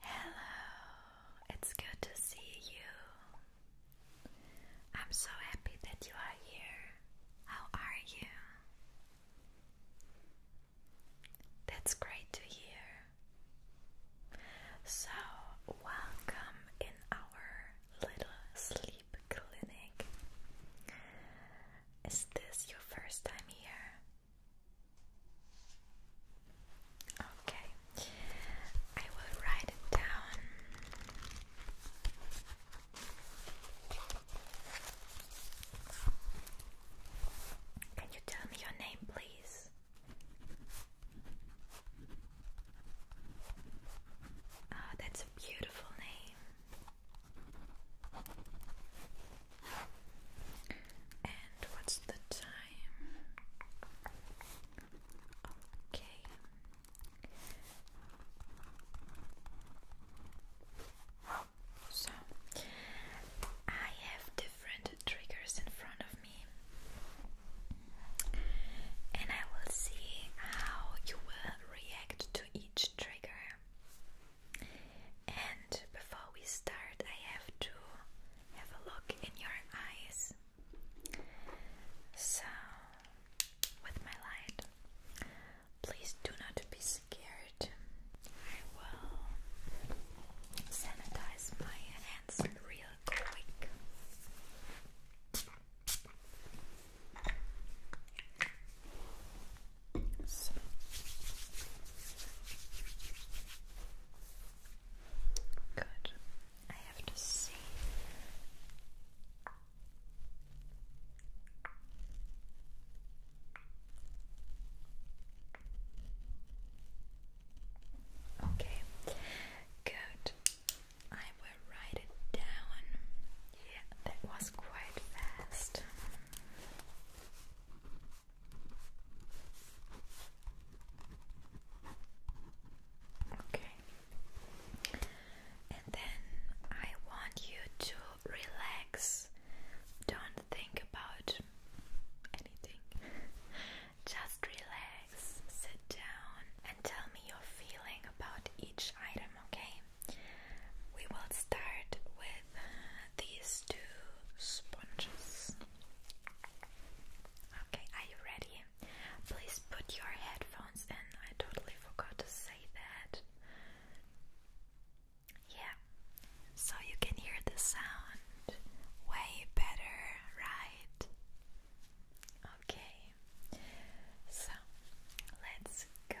Hello, it's good to see you. I'm so happy that you are here. How are you? That's great to hear. So, welcome in our little sleep clinic. Is this your first time here? Okay, I will write it down. Can you tell me your name, please? Oh, that's a beautiful name. And what's the time? Okay. So, I have different triggers in front of me, and I will see how you will react to each trigger. And before we start, I have to have a look in your eyes. So, with my light, please do not be scared. I will sanitize my hands real quick. So. Good. I have to see. Okay, good. I will write it down. Yeah, that was quite fast. Okay, and then I want you to relax. Don't think about anything, just relax, sit down, and tell me your feeling about each item. Okay, we will start with these two sponges. Okay, are you ready? Please put your headphones in. I totally forgot to say that. Yeah, so you can hear the sound way better, right? Okay, so let's go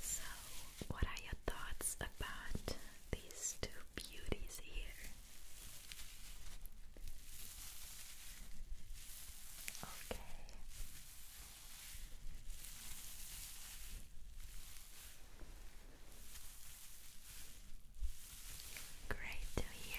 So, what are your thoughts about these two beauties here? Okay. Great to hear.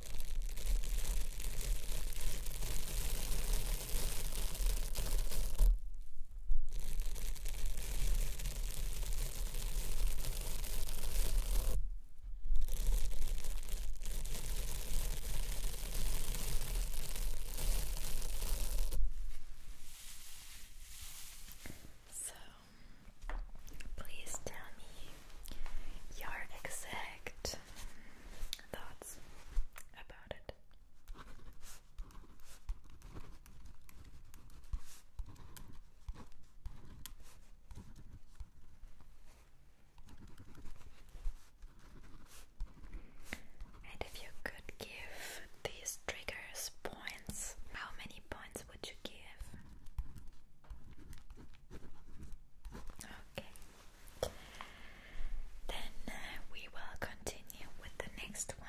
So, please tell me your exact thoughts about it. And if you could give these triggers points, how many points would you give? Okay. Then uh, we will continue with the next one.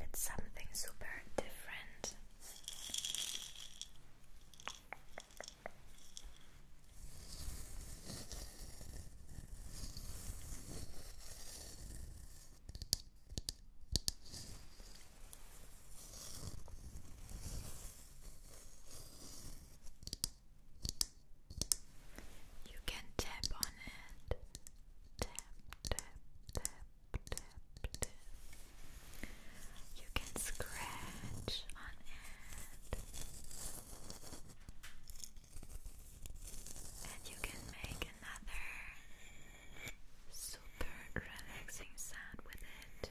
It's something super different. You can tap on it. Tap, tap, tap, tap, You can scratch on it. And you can make another super relaxing sound with it.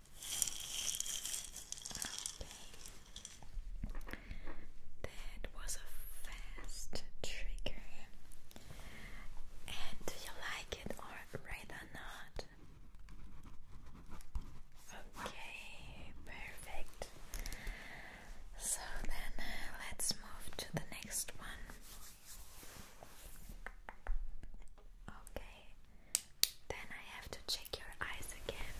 Okay. That was a fast trigger. And do you like it or rather not? Okay, perfect. So then uh, let's move to the next one. Okay, then I have to check your eyes again.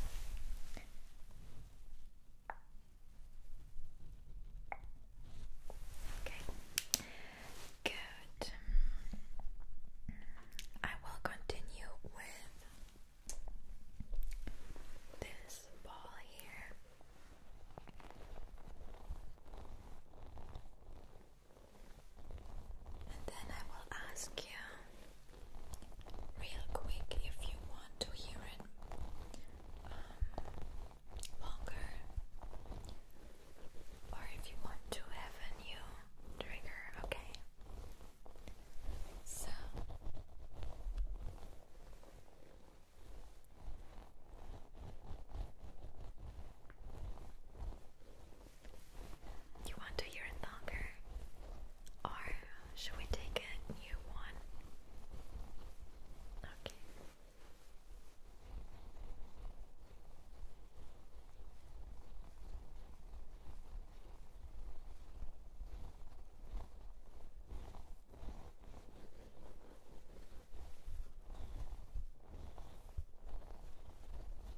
Okay. Good. I will continue with this ball here. And then I will ask you real quick if you want to hear it um, longer or if you want to have a new trigger, okay? So you want to hear it longer? Or should we take a new one? Okay.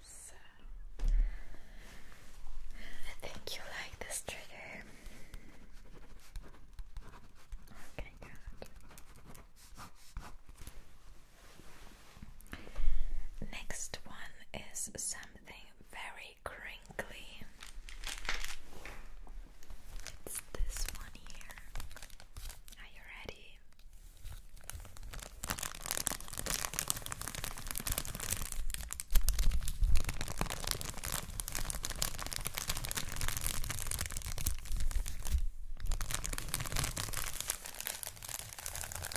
So I think you like this trigger. Okay, good. Next one is something very crinkly. It's this one here. Are you ready?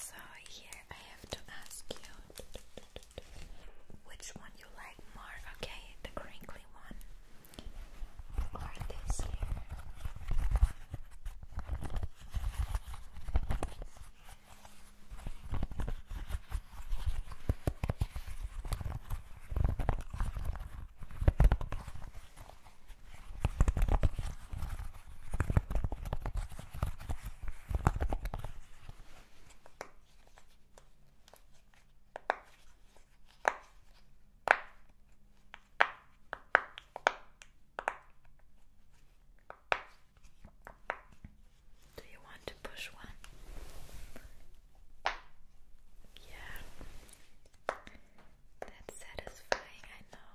So here I have to ask you which one you like more, okay? The crinkly one or this here? Do you want to push one? Yeah, that's satisfying, I know.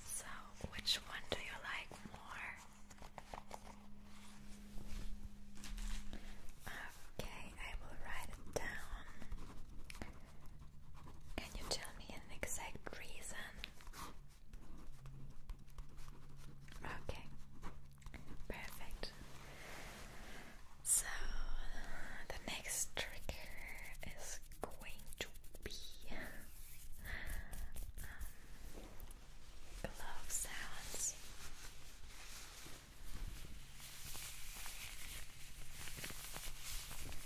So, which one do you like more? Okay, I will write it down. Can you tell me an exact reason? Okay, perfect. So, the next trigger is going to be um,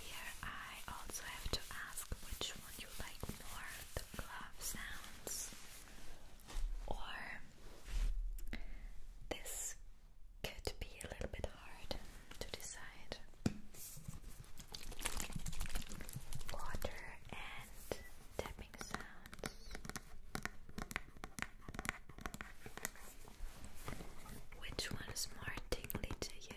Here I also have to ask which one you like more, the glove sounds or this could be a little bit hard to decide. Water and tapping sounds. Which one is more tingly to you?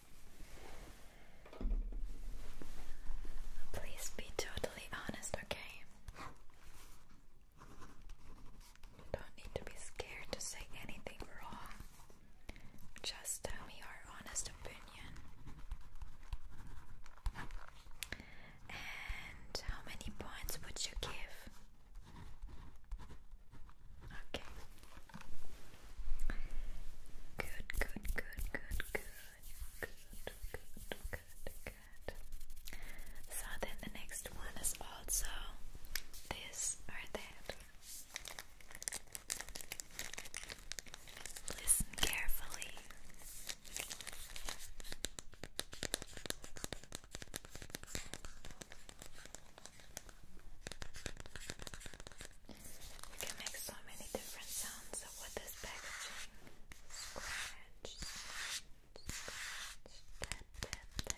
Please be totally honest, okay? don't need to be scared to say anything wrong. Just tell me your honest opinion. And how many points would you give? Okay. Good, good, good, good, good, good, good, good, good. So then the next one is also this or that. Listen carefully. You can make so many different sounds with this packaging. Scratch, scratch, scratch, tap, tap, tap. Tap,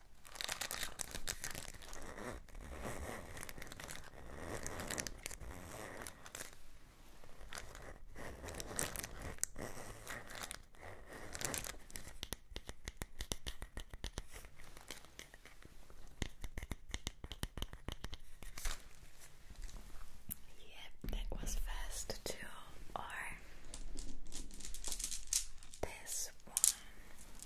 Yep, that was fast too, or this one.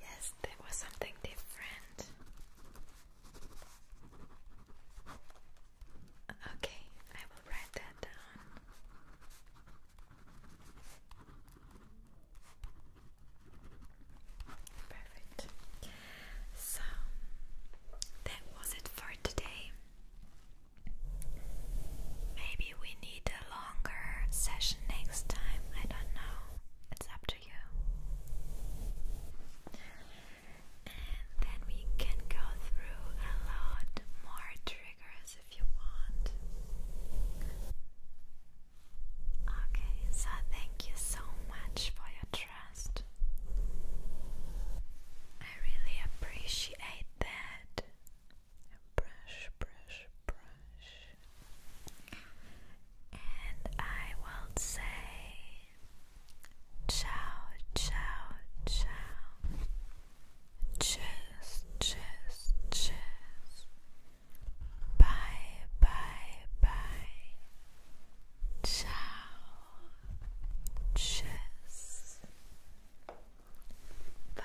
Yes, that was something different. Okay, I will write that down. Perfect. So, that was it for today. Maybe we need a longer session next time. I don't know. It's up to you. And then we can go through a lot more triggers if you want. Okay, so thank you so much for your trust. I really appreciate that and brush, brush, brush. And I will say ciao, ciao, ciao. Cheers, cheers, cheers. Bye, bye, bye. Ciao. Cheers. Bye.